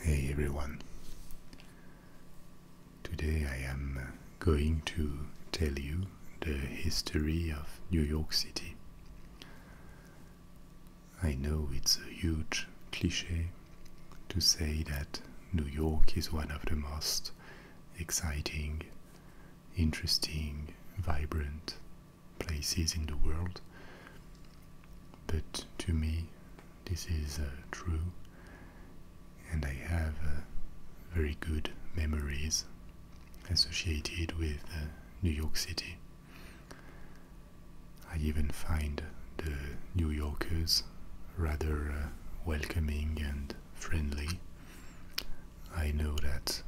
Hey everyone. Today I am uh, going to tell you the history of New York City. I know it's a huge cliche to say that New York is one of the most exciting, interesting, vibrant places in the world. But to me, this is uh, true, and I have uh, very good memories associated with uh, New York City. I even find the New Yorkers rather welcoming and friendly. I know that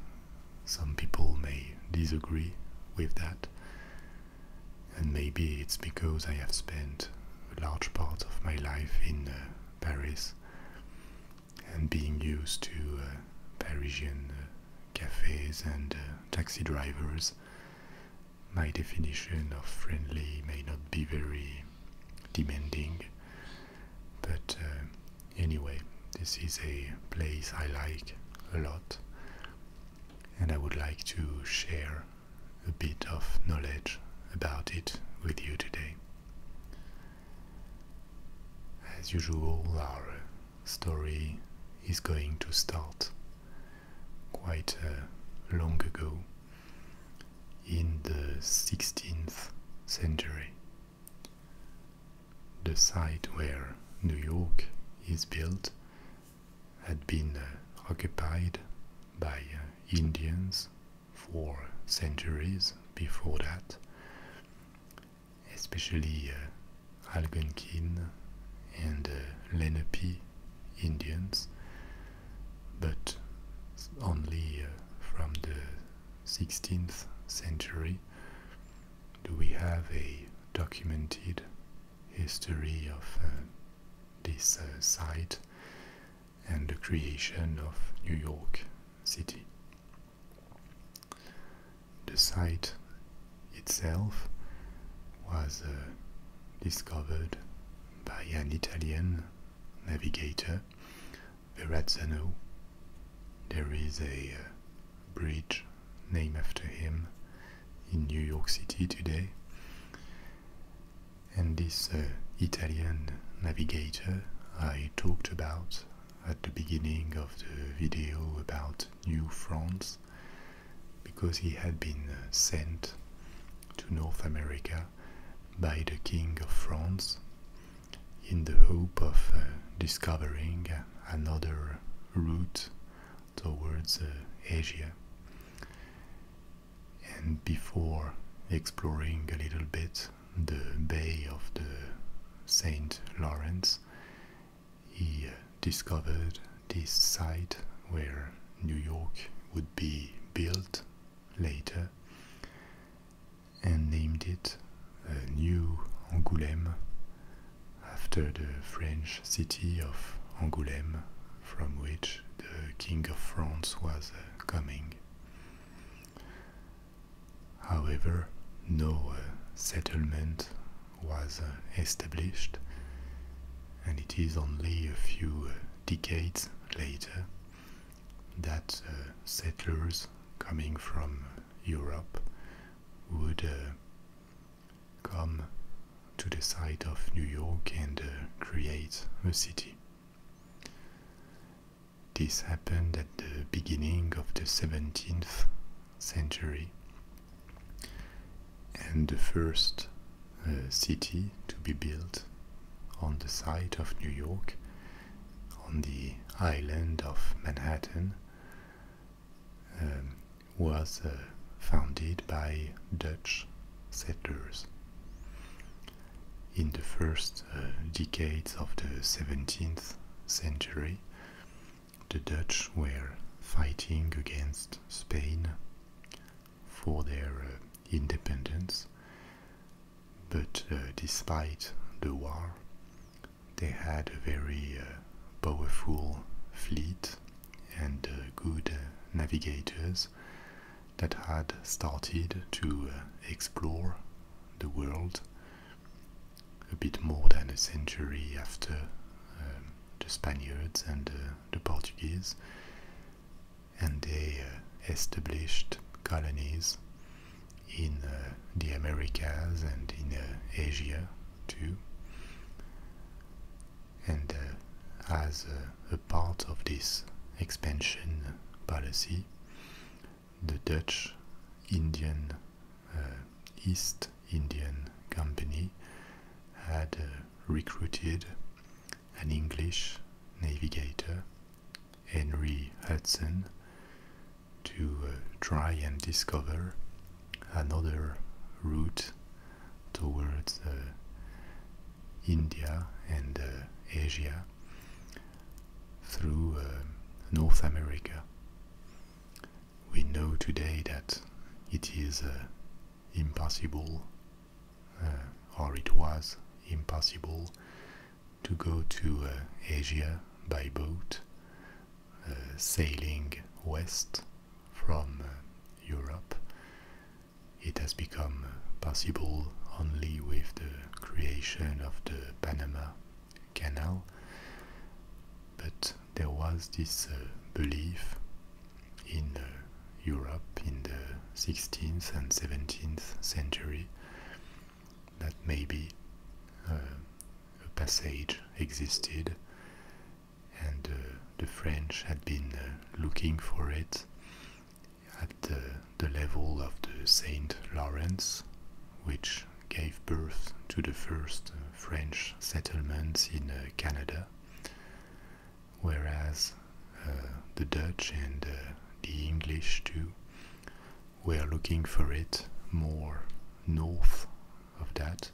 some people may disagree with that, and maybe it's because I have spent a large part of my life in uh, Paris and being used to uh, Parisian uh, cafes and taxi drivers, my definition of friendly may not be very demanding. But anyway, this is a place I like a lot and I would like to share a bit of knowledge about it with you today. As usual, our story is going to start quite uh, long ago in the 16th century. The site where New York is built had been uh, occupied by uh, Indians for centuries before that, especially uh, Algonquin and Lenape Indians, but only from the 16th century do we have a documented history of this uh, site and the creation of New York City. The site itself was uh, discovered by an Italian navigator, Verrazzano. There is a uh, bridge named after him in New York City today. And this uh, Italian navigator I talked about at the beginning of the video about New France because he had been uh, sent to North America by the King of France in the hope of uh, discovering another route towards uh, Asia. And before exploring a little bit the bay of the St. Lawrence, he uh, discovered this site where New York would be built later and named it uh, New Angoulême after the French city of Angoulême, from which the King of France was uh, coming. However, no uh, settlement was uh, established, and it is only a few decades later that settlers coming from Europe would come to the site of New York and uh, create a city. This happened at the beginning of the 17th century, and the first uh, city to be built on the site of New York, on the island of Manhattan, um, was uh, founded by Dutch settlers. In the first uh, decades of the 17th century, the Dutch were fighting against Spain for their uh, independence, but despite the war, they had a very powerful fleet and uh, good uh, navigators that had started to uh, explore the world a bit more than a century after um, the Spaniards and the Portuguese, and they established colonies in the Americas and in Asia too and uh, as a part of this expansion policy, the Dutch Indian uh, East Indian Company had uh, recruited an English navigator, Henry Hudson, to try and discover another route towards uh, India and uh, Asia through uh, North America. We know today that it is impossible, or it was impossible, to go to Asia by boat, sailing west from Europe it has become possible only with the creation of the Panama Canal, but there was this uh, belief in uh, Europe in the 16th and 17th century that maybe uh, a passage existed and uh, the French had been uh, looking for it at the level of the Saint Lawrence, which gave birth to the first uh, French settlements in Canada, whereas the Dutch and the English too were looking for it more north of that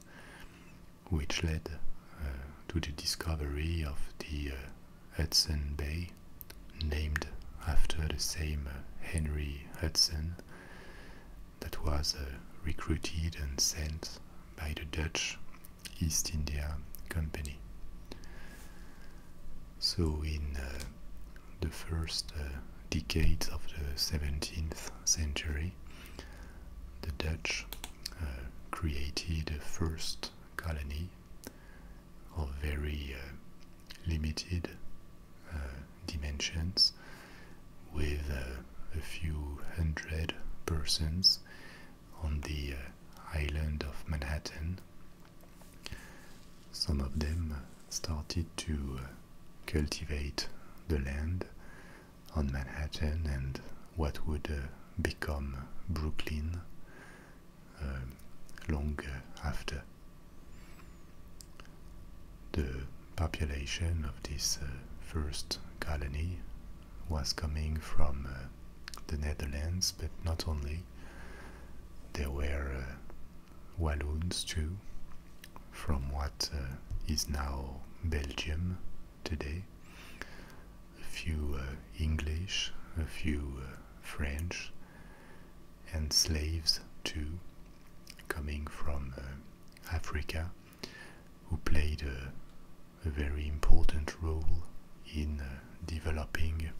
which led uh, to the discovery of the uh, Hudson Bay, named after the same uh, Henry Hudson that was recruited and sent by the Dutch East India Company. So, in the first decades of the 17th century, the Dutch created the first colony of very uh, limited uh, dimensions with uh, a few hundred persons on the island of Manhattan. Some of them started to cultivate the land on Manhattan and what would become Brooklyn uh, long after. The population of this uh, first colony was coming from uh, the Netherlands, but not only. There were uh, Walloons too, from what is now Belgium today, a few uh, English, a few uh, French, and slaves too, coming from uh, Africa, who played a, very important role in developing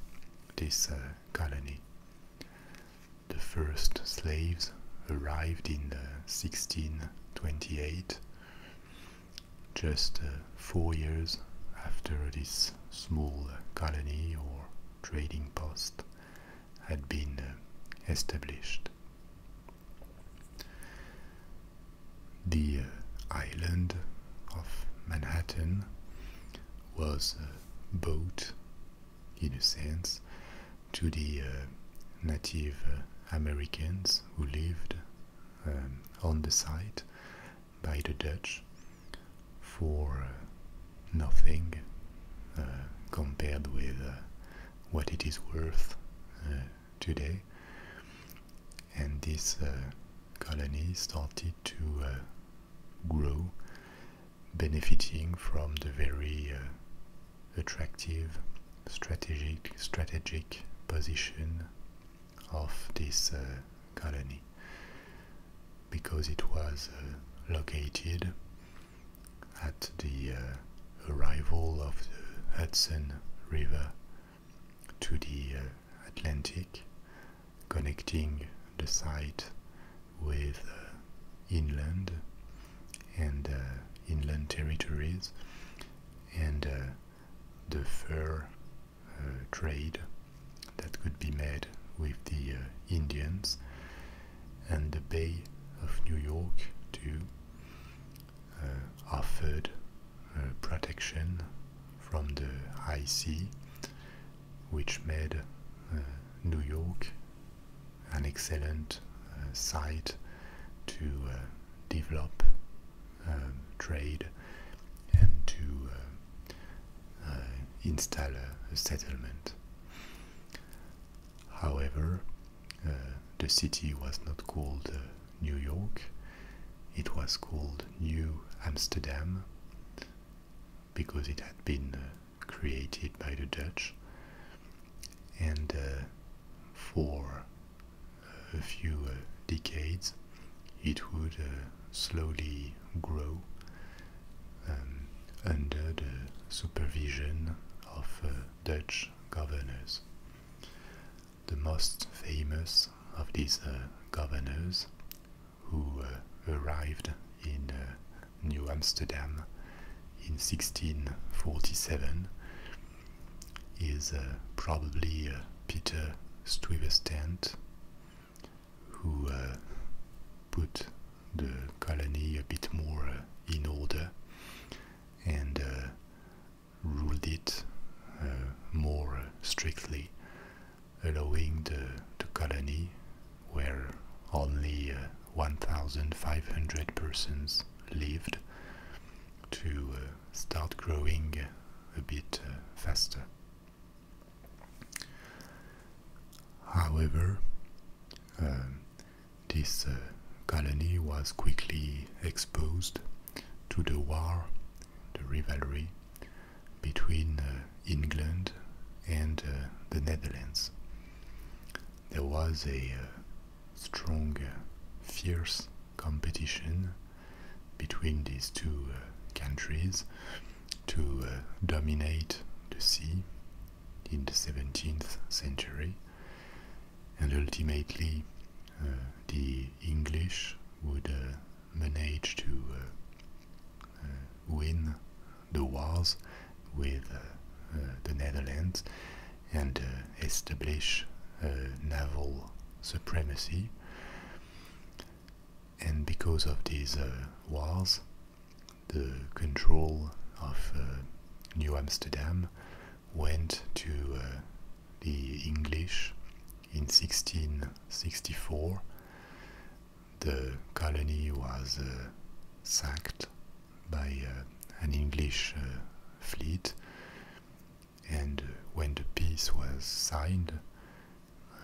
this colony. The first slaves arrived in 1628 just uh, four years after this small uh, colony or trading post had been uh, established. The island of Manhattan was bought, in a sense, to the Native Americans who lived um, on the site by the Dutch for uh, nothing uh, compared with uh, what it is worth today. And this colony started to grow, benefiting from the very attractive strategic strategic position of this uh, colony because it was uh, located at the uh, arrival of the Hudson River to the Atlantic, connecting the site with inland and inland territories and the fur uh, trade that could be made with the uh, Indians and the Bay of New York too uh, offered protection from the high sea which made New York an excellent site to develop um, trade and to uh, uh, install a, settlement. However, uh, the city was not called New York, it was called New Amsterdam because it had been created by the Dutch. And for a few uh, decades, it would uh, slowly grow um, under the supervision of uh, Dutch governors. The most famous of these governors, who arrived in New Amsterdam in 1647, is probably Peter Stuyvesant, who uh, put the colony a bit more uh, in order and uh, ruled it more strictly, allowing the, the colony where only 1,500 persons lived to start growing a bit faster. However, um, this uh, colony was quickly exposed to the war, the rivalry between uh, England and uh, the Netherlands. There was a uh, strong, fierce competition between these two uh, countries to uh, dominate the sea in the 17th century, and ultimately uh, the English would manage to win the wars with the Netherlands and establish naval supremacy and because of these uh, wars, the control of uh, New Amsterdam went to uh, the English in 1664. The colony was sacked by an English fleet and when the peace was signed,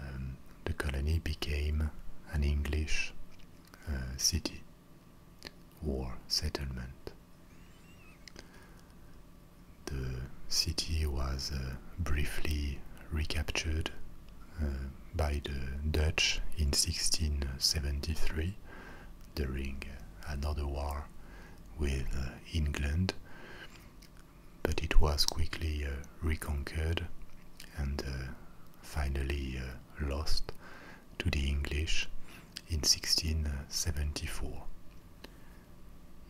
um, the colony became an English uh, city or settlement. The city was uh, briefly recaptured uh, by the Dutch in 1673 during another war with England but it was quickly uh, reconquered and uh, finally uh, lost to the English in 1674.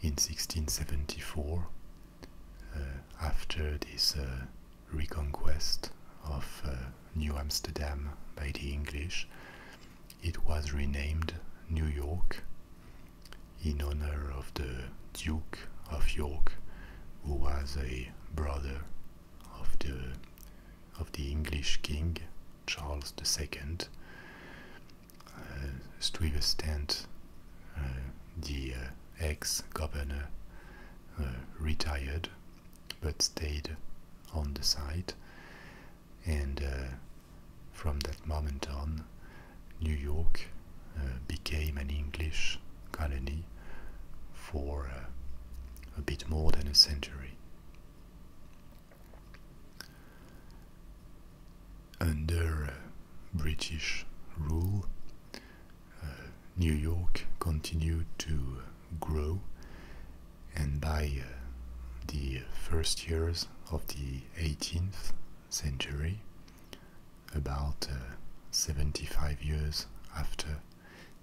In 1674, after this reconquest of New Amsterdam by the English, it was renamed New York in honor of the Duke of York, who was a brother of the of the English king Charles II. Stuyvesant, the uh, uh, uh, ex-governor, retired but stayed on the site, and from that moment on, New York uh, became an English colony for uh, a bit more than a century. Under uh, British rule, New York continued to grow, and by the first years of the 18th century, about uh, 75 years after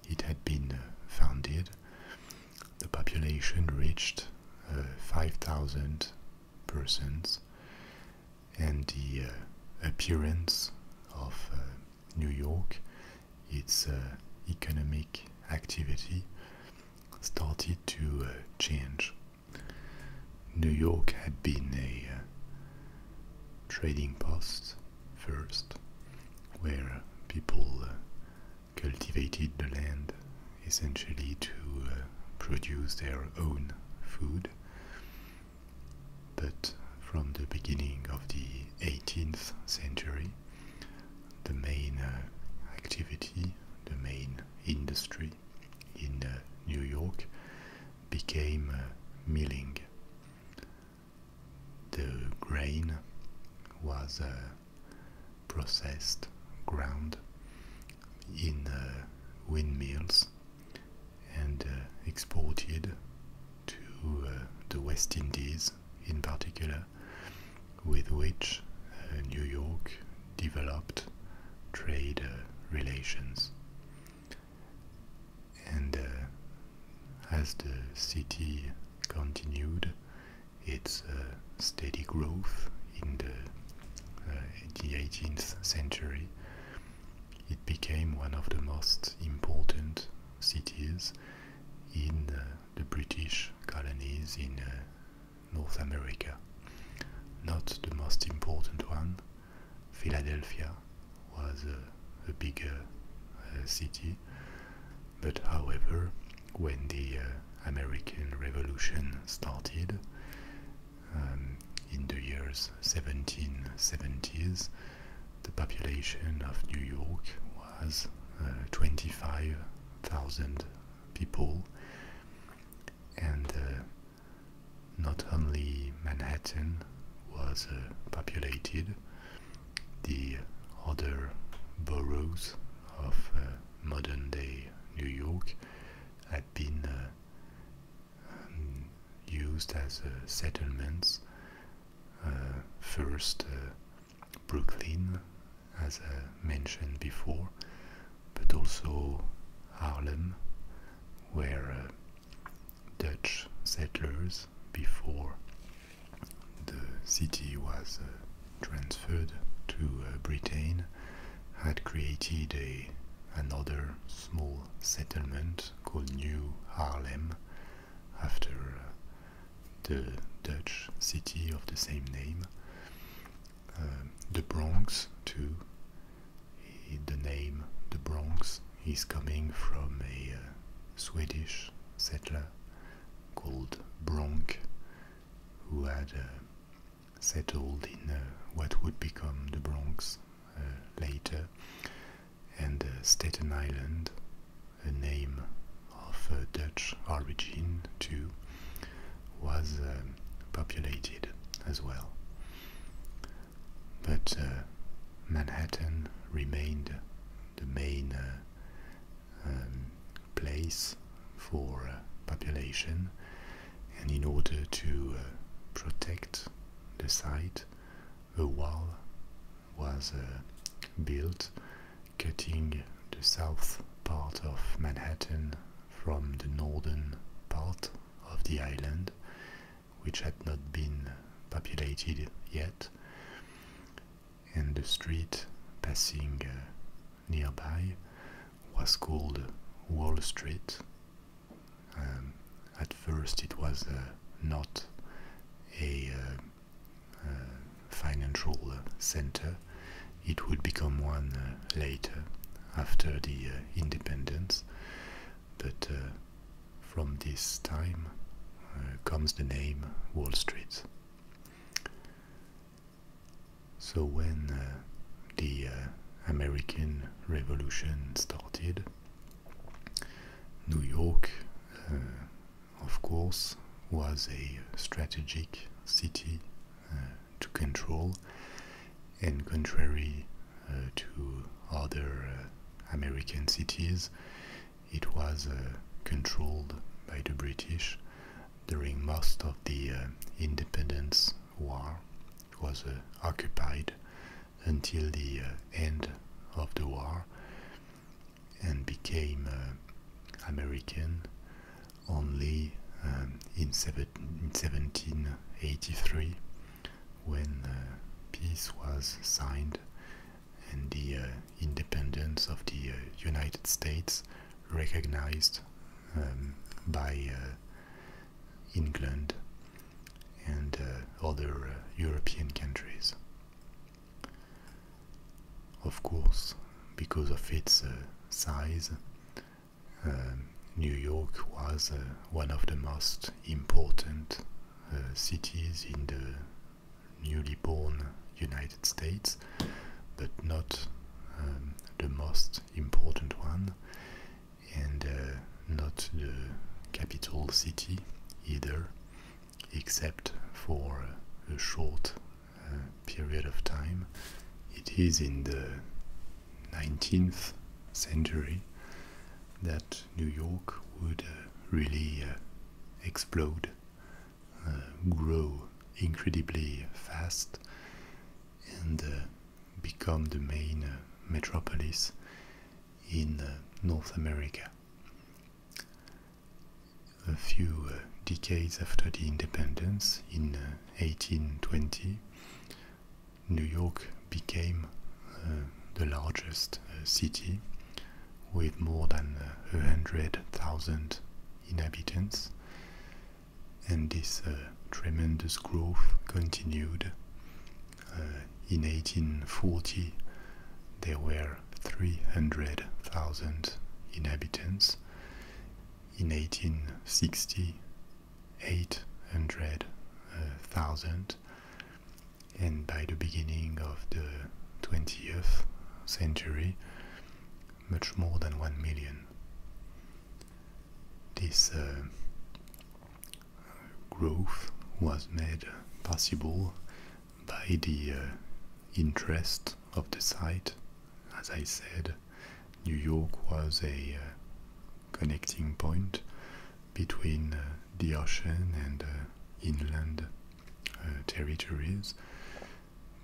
it had been uh, founded, the population reached uh, 5,000 persons, and the appearance of New York, its economic activity, started to change. New York had been a uh, trading post first, where people uh, cultivated the land essentially to uh, produce their own food. But from the beginning of the 18th century, the main activity, the main industry in New York became uh, milling. The grain was uh, processed, ground in uh, windmills and exported to the West Indies in particular, with which New York developed trade relations. And uh, as the city continued its uh, steady growth in the, 18th uh, century, it became one of the most important cities in the British colonies in North America. Not the most important one, Philadelphia was a, bigger uh, city, but however, when the uh, American Revolution started um, in the years 1770s, the population of New York was uh, 25,000 people, and not only Manhattan was uh, populated, the other boroughs of uh, modern day New York had been uh, used as settlements. first, Brooklyn, as I mentioned before, but also Harlem, where uh, Dutch settlers, before the city was uh, transferred to uh, Britain, had created a, another small settlement called New Harlem after the Dutch city of the same name. the Bronx, too, the name the Bronx is coming from a uh, Swedish settler called Bronk, who had uh, settled in uh, what would become the Bronx later, and Staten Island, a name of Dutch origin too, was um, populated as well but uh, Manhattan remained the main uh, um, place for uh, population, and in order to protect the site, a wall was built cutting the south part of Manhattan from the northern part of the island which had not been populated yet, and the street passing uh, nearby was called Wall Street. Um, at first, it was uh, not a uh, financial center, it would become one later after the independence but uh, from this time uh, comes the name Wall Street. So when uh, the American Revolution started, New York, of course, was a strategic city to control and contrary uh, to other uh, American cities, it was uh, controlled by the British during most of the Independence War. It was occupied until the end of the war and became American only um, in 1783 when uh, peace was signed and the uh, independence of the uh, United States recognized um, by England and other European countries. Of course, because of its size, um, New York was uh, one of the most important uh, cities in the newly born United States, but not um, the most important one, and uh, not the capital city either, except for a short period of time. It is in the 19th century that New York would uh, really uh, explode, uh, grow incredibly fast, and become the main metropolis in North America. A few decades after the independence, in 1820, New York became uh, the largest uh, city with more than uh, 100,000 inhabitants, and this uh, tremendous growth continued. in 1840, there were 300,000 inhabitants. In 1860, 800,000, uh, and by the beginning of the 20th century, much more than 1 million. This uh, growth was made possible by the uh, interest of the site. As I said, New York was a connecting point between uh, the ocean and uh, inland uh, territories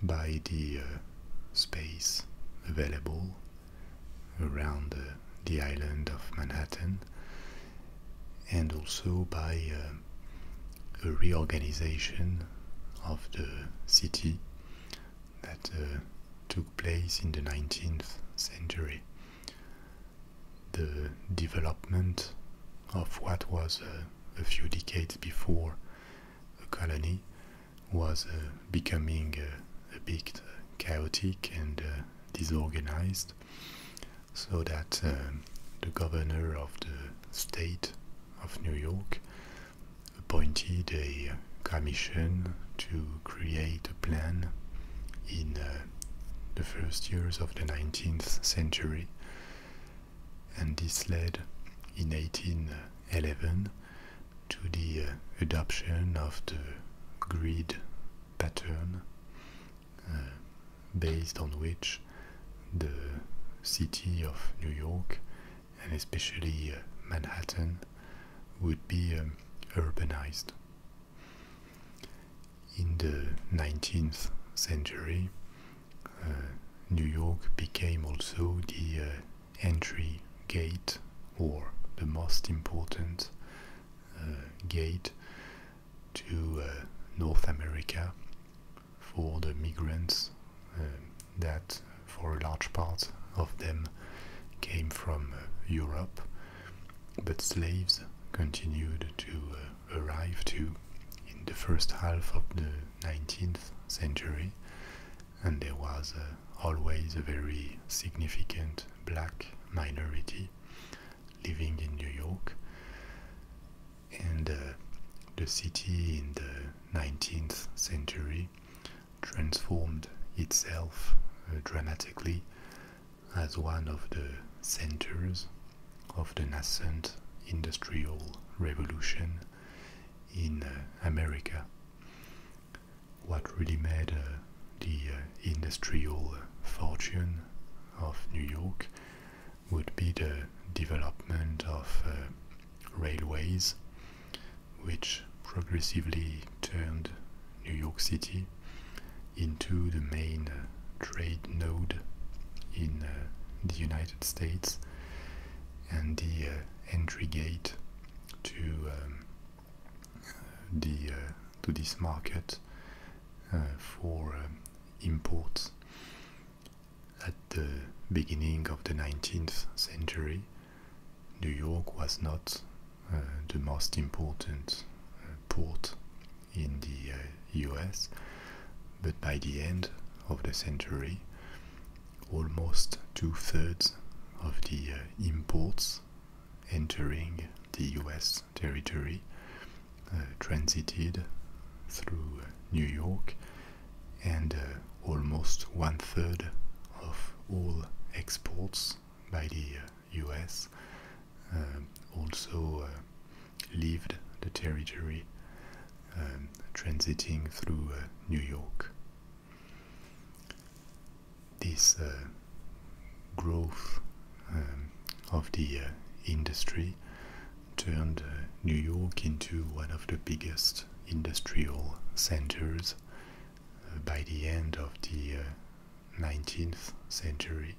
by the space available around the island of Manhattan and also by uh, a reorganization of the city that took place in the 19th century the development of what was a, few decades before a colony was uh, becoming uh, a bit uh, chaotic and disorganized, so that the governor of the state of New York appointed a commission to create a plan in the first years of the 19th century, and this led in 1811 to the uh, adoption of the grid pattern uh, based on which the city of New York and especially uh, Manhattan would be um, urbanized. In the 19th century, uh, New York became also the uh, entry gate or the most important uh, gate to North America for the migrants that, for a large part of them, came from Europe but slaves continued to uh, arrive too in the first half of the 19th century, and there was uh, always a very significant black minority living in New York. And uh, the city in the 19th century transformed itself dramatically as one of the centers of the nascent industrial revolution in uh, America. What really made uh, the uh, industrial fortune of New York would be the development of railways, which progressively turned New York City into the main uh, trade node in uh, the United States and the uh, entry gate to um, the to this market for um, imports at the beginning of the 19th century New York was not uh, the most important uh, port in the US, uh, but by the end of the century, almost two thirds of the imports entering the US territory transited through New York, and almost one third of all exports by the US, um, also uh, lived the territory, um, transiting through uh, New York. This uh, growth um, of the uh, industry turned New York into one of the biggest industrial centers by the end of the uh, 19th century,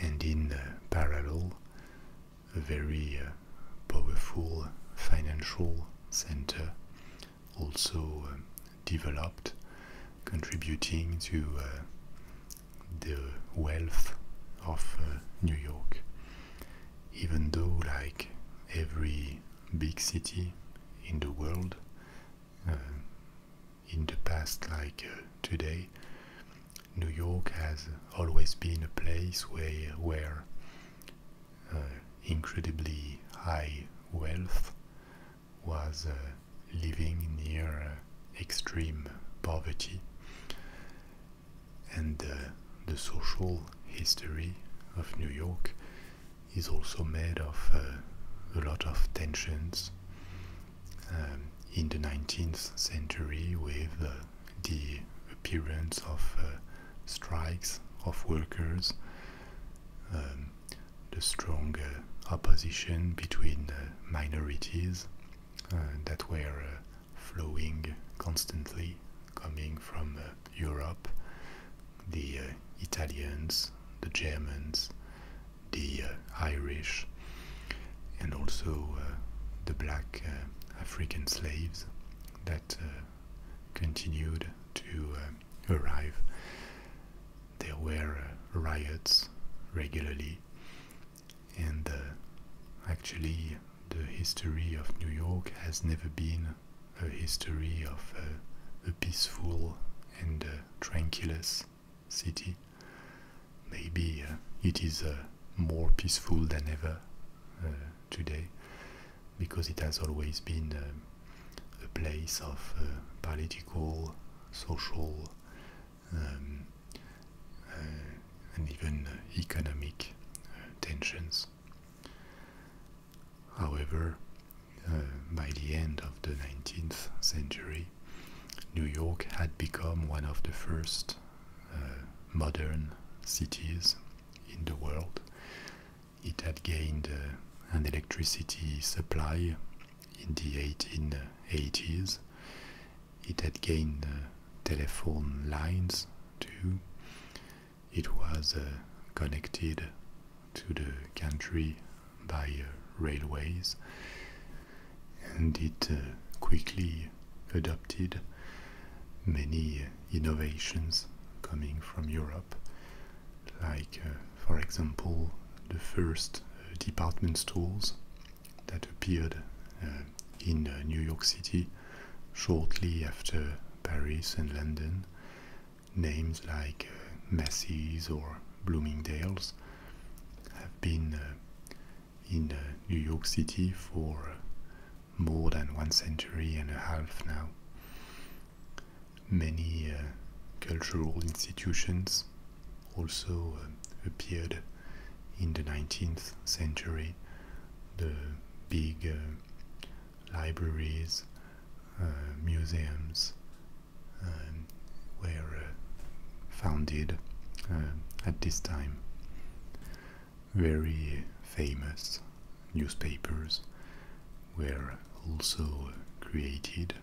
and in parallel, a very uh, powerful financial center also um, developed, contributing to uh, the wealth of uh, New York. Even though, like every big city in the world, in the past like uh, today, New York has always been a place where, uh, incredibly high wealth was uh, living near extreme poverty. And the social history of New York is also made of a lot of tensions um, in the 19th century with uh, the appearance of uh, strikes of workers, um, the strong opposition between minorities uh, that were flowing constantly coming from Europe, the Italians, the Germans, the uh, Irish, and also uh, the black uh, African slaves that continued to arrive. There were riots regularly, and actually, the history of New York has never been a history of a peaceful and uh, city. Maybe uh, it is uh, more peaceful than ever uh, today because it has always been um, a place of political, social, um, and even economic tensions. However, by the end of the 19th century, New York had become one of the first uh, modern cities in the world. It had gained uh, an electricity supply in the 1880s. It had gained uh, telephone lines too. It was connected to the country by uh, railways, and it uh, quickly adopted many uh, innovations coming from Europe, like, for example, the first department stores that appeared in New York City shortly after Paris and London. Names like Macy's or Bloomingdale's I've been uh, in uh, New York City for uh, more than one century and a half now. Many cultural institutions also um, appeared in the 19th century. The big libraries, museums, um, uh, founded um, at this time. Very uh, famous newspapers were also created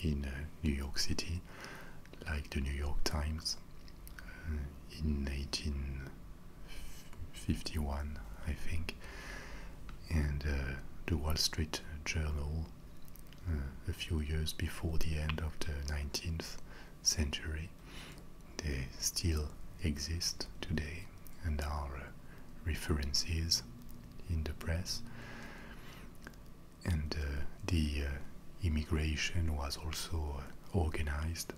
in uh, New York City, like the New York Times in 1851, I think, and the Wall Street Journal uh, a few years before the end of the 19th century. They still exist today and are uh, references in the press. And uh, the immigration was also organized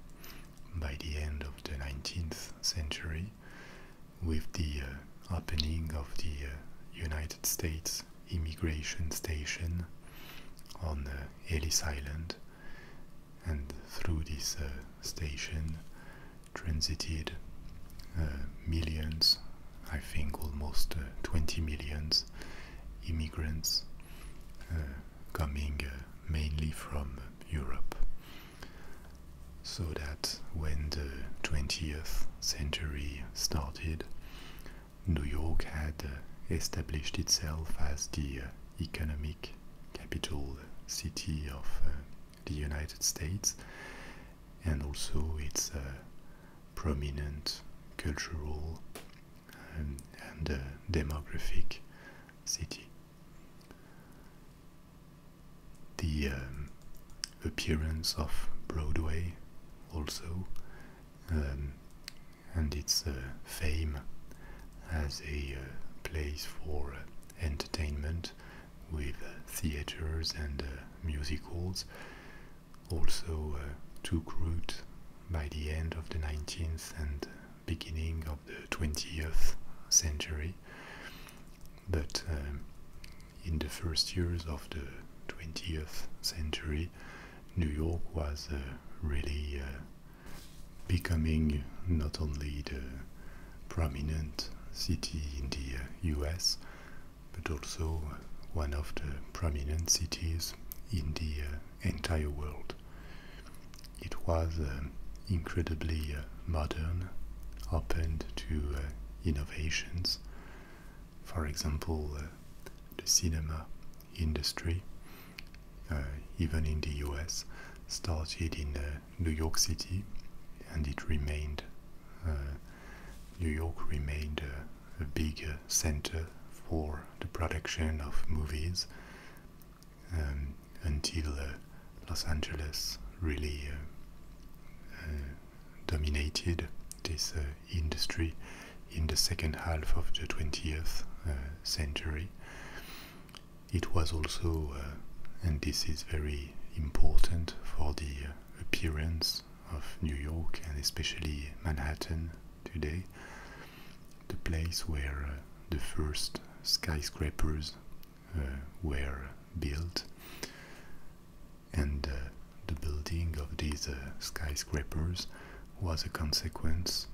by the end of the 19th century with the opening of the United States immigration station on uh, Ellis Island, and through this uh, station transited uh, millions, I think almost 20 millions immigrants coming mainly from Europe. So that when the 20th century started, New York had established itself as the uh, economic capital city of uh, the United States and also its uh, prominent cultural um, and demographic city. The um, appearance of Broadway also um, and its uh, fame as a uh, place for uh, entertainment with theatres and uh, halls, also took root by the end of the 19th and beginning of the 20th century. But um, in the first years of the 20th century, New York was uh, really uh, becoming not only the prominent city in the US, uh, but also one of the prominent cities in the entire world. It was incredibly modern, open to innovations. For example, the cinema industry, uh, even in the US, started in uh, New York City and it remained, uh, New York remained a, bigger center for the production of movies um, until Los Angeles really dominated this industry in the second half of the 20th uh, century. It was also, uh, and this is very important for the uh, appearance of New York and especially Manhattan today, the place where the first skyscrapers were built and the building of these uh, skyscrapers was a consequence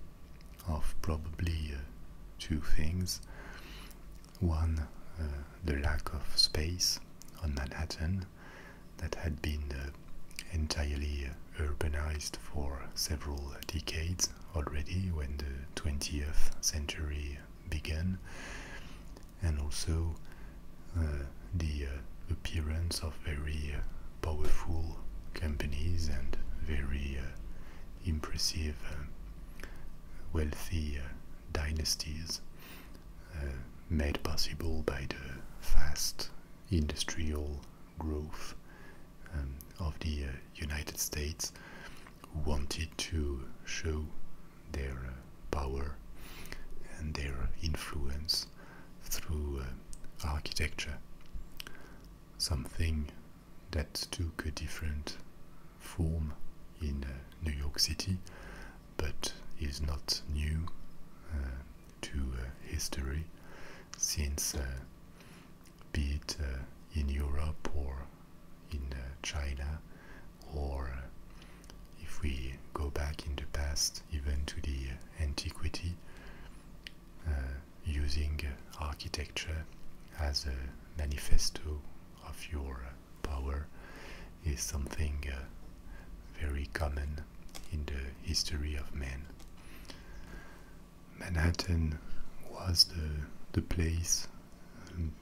of probably uh, two things. One, uh, the lack of space on Manhattan that had been entirely urbanized for several decades already when the 20th century began, and also the appearance of very powerful companies and very uh, impressive uh, wealthy uh, dynasties made possible by the fast industrial growth um, of the United States wanted to show their power and their influence through uh, architecture, something that took a different form in uh, New York City, but is not new uh, to history, since be it in Europe or in China, or if we go back in the past, even to the antiquity, uh, using uh, architecture as a manifesto of your uh, power is something very common in the history of man. Manhattan was the, the place um,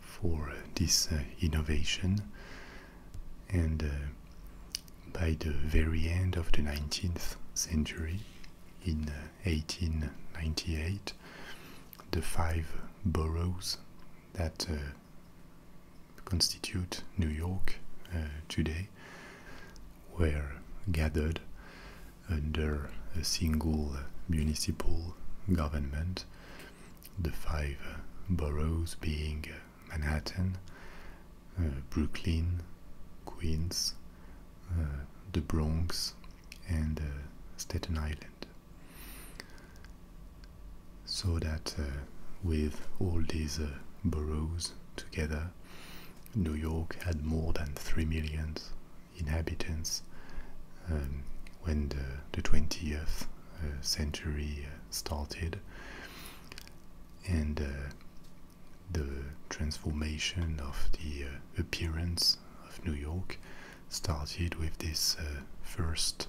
for this innovation and uh, by the very end of the 19th century, in 1898, uh, the five boroughs that uh, constitute New York today were gathered under a single municipal government, the five boroughs being Manhattan, uh, Brooklyn, Queens, uh, the Bronx, and uh, Staten Island. So that with all these boroughs together, New York had more than 3 million inhabitants um, when the, 20th century started, and uh, the transformation of the uh, appearance of New York started with these uh, first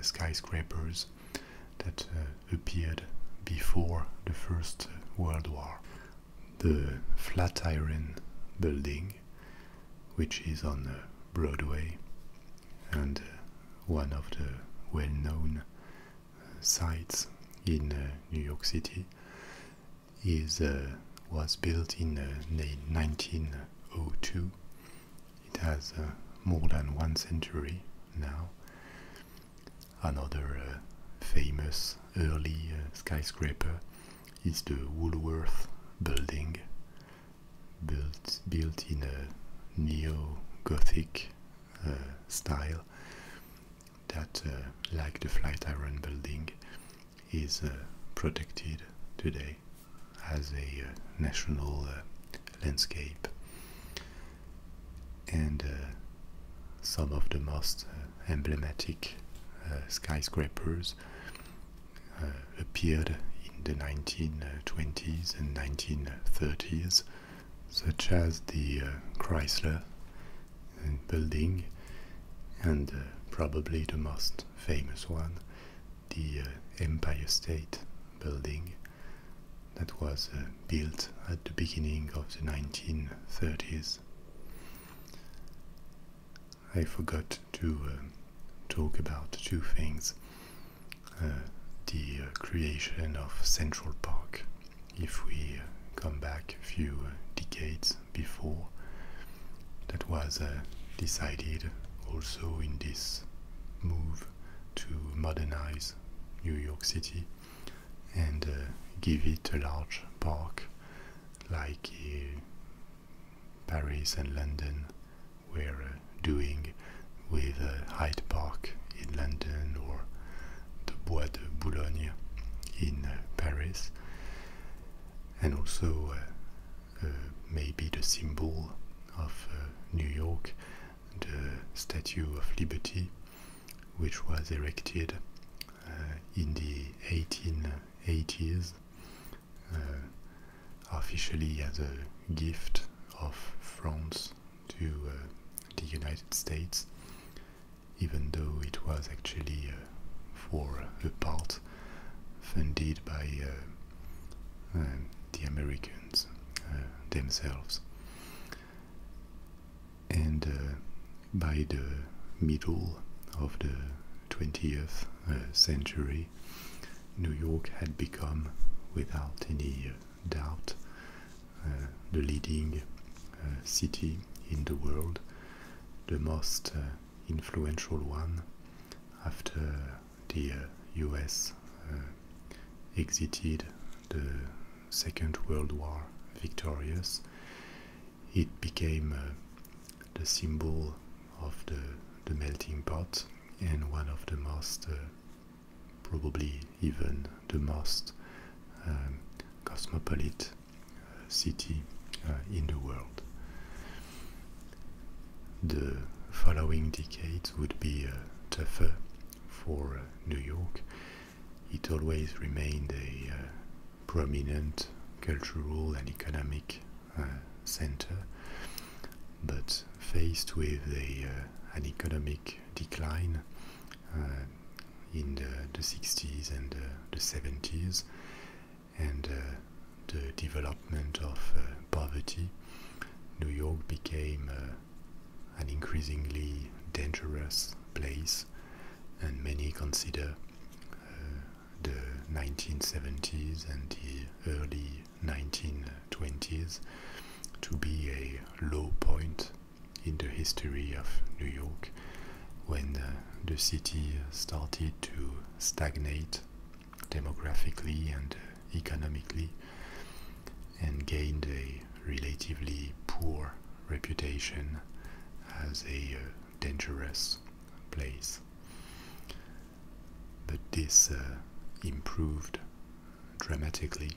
skyscrapers that appeared before the First World War. The Flatiron Building, which is on Broadway and one of the well known sites in uh, New York City is uh, was built in 1902. Uh, it has more than one century now. Another famous early skyscraper is the Woolworth Building, built, built in a neo Gothic uh, style that, uh, like the Flight Iron building, is uh, protected today as a national landscape. And some of the most emblematic skyscrapers appeared in the 1920s and 1930s such as the uh, Chrysler uh, building and uh, probably the most famous one, the Empire State building that was built at the beginning of the 1930s. I forgot to talk about two things. Uh, the uh, creation of Central Park. If we uh, come back a few decades before, that was decided also in this move to modernize New York City and give it a large park like Paris and London were doing with uh, Hyde Park in London or the Bois de Boulogne in uh, Paris, and also uh, uh, maybe the symbol of New York, the Statue of Liberty, which was erected in the 1880s officially as a gift of France to uh, the United States, even though it was actually uh, for a part funded by uh, um, the Americans themselves. And by the middle of the 20th century, New York had become, without any doubt uh, the leading uh, city in the world, the most uh, influential one after the US exited the Second World War victorious. It became the symbol of the melting pot and one of the most probably even the most um, cosmopolitan uh, city uh, in the world. The following decades would be uh, tougher for New York. It always remained a prominent cultural and economic center, but faced with an economic decline uh, in the, 60s and the 70s, and uh, the development of uh, poverty, New York became an increasingly dangerous place, and many consider the 1970s and the early 1920s to be a low point in the history of New York when the city started to stagnate demographically and economically and gained a relatively poor reputation as a uh, dangerous place. But this uh, improved dramatically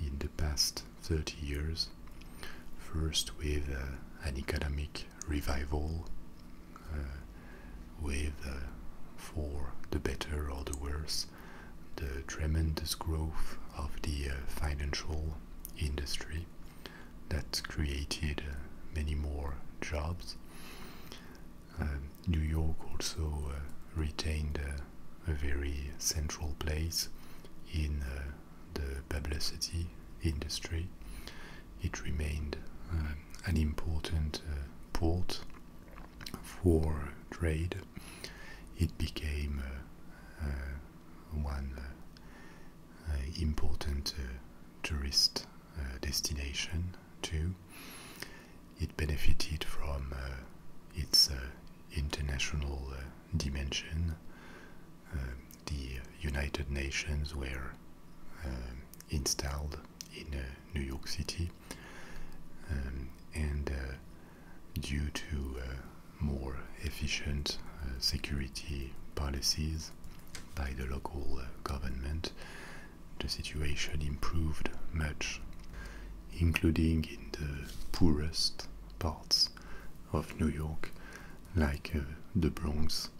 in the past 30 years, first with uh, an economic revival, uh, with, uh, for the better or the worse, the tremendous growth of the financial industry that created many more jobs. New York also retained a, very central place in uh, the publicity industry. It remained uh, an important uh, port for trade. It became one important tourist destination too. It benefited from its international dimension, uh, the United Nations were uh, installed in uh, New York City, um, and due to more efficient security policies by the local government, the situation improved much, including in the poorest parts of New York, like uh, the Bronx,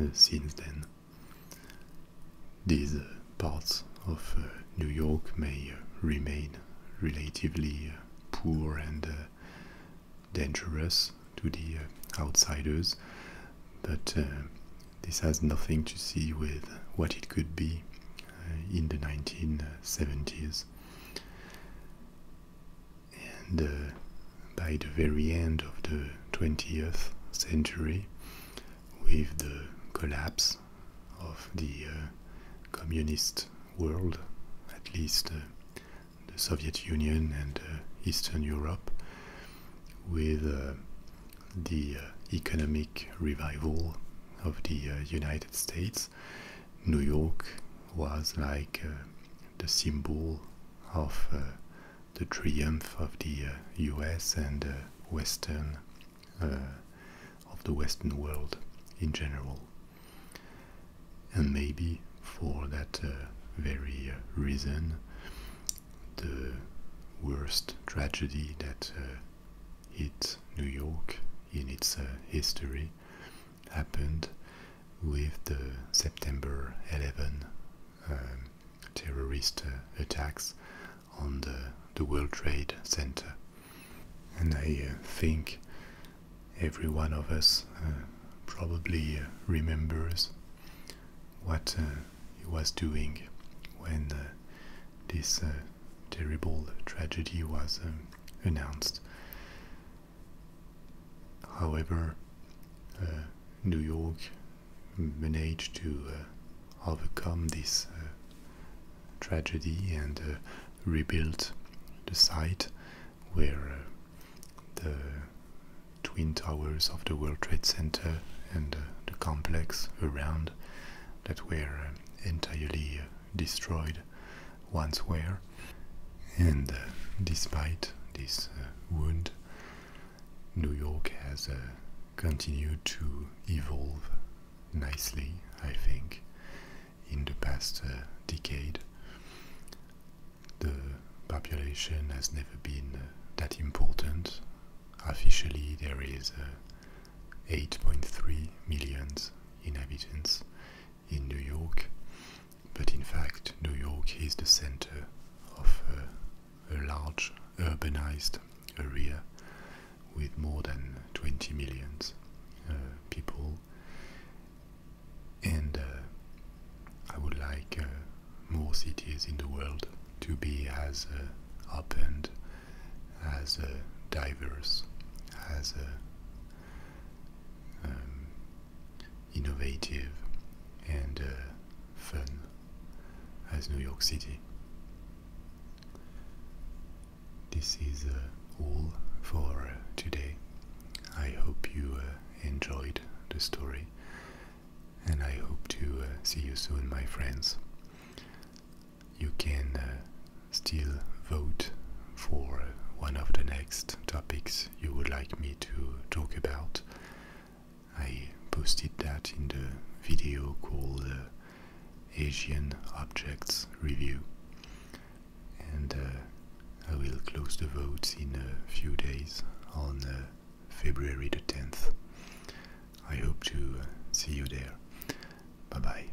uh, since then. These uh, parts of New York may remain relatively poor and dangerous to the outsiders, but this has nothing to see with what it could be in the 1970s and uh, by the very end of the 20th century, with the collapse of the uh, communist world, at least uh, the Soviet Union and Eastern Europe, with the economic revival of the United States, New York was like uh, the symbol of uh, the triumph of the US uh, and Western, of the Western world in general. And maybe for that very reason, the worst tragedy that hit New York in its history happened with the September 11 um, terrorist uh, attacks on the, the World Trade Center. And I uh, think every one of us uh, probably remembers what he was doing when this terrible tragedy was uh, announced. However, uh, New York managed to uh, overcome this tragedy and rebuilt the site where the twin towers of the World Trade Center and the complex around that were entirely destroyed once were, and uh, despite this uh, wound, New York has uh, continued to evolve nicely, I think, in the past decade. The population has never been that important. Officially, there is 8.3 million inhabitants in New York, but in fact, New York is the center of a, large urbanized area with more than 20 million uh, people. And uh, I would like uh, more cities in the world to be as open, as diverse, as um, innovative, and uh, fun as New York City. This is uh, all for uh, today. I hope you enjoyed the story and I hope to see you soon, my friends. You can still vote for one of the next topics you would like me to talk about. I posted that in the video called uh, Asian Objects Review. And uh, I will close the votes in a few days on uh, February the 10th. I hope to see you there. Bye bye.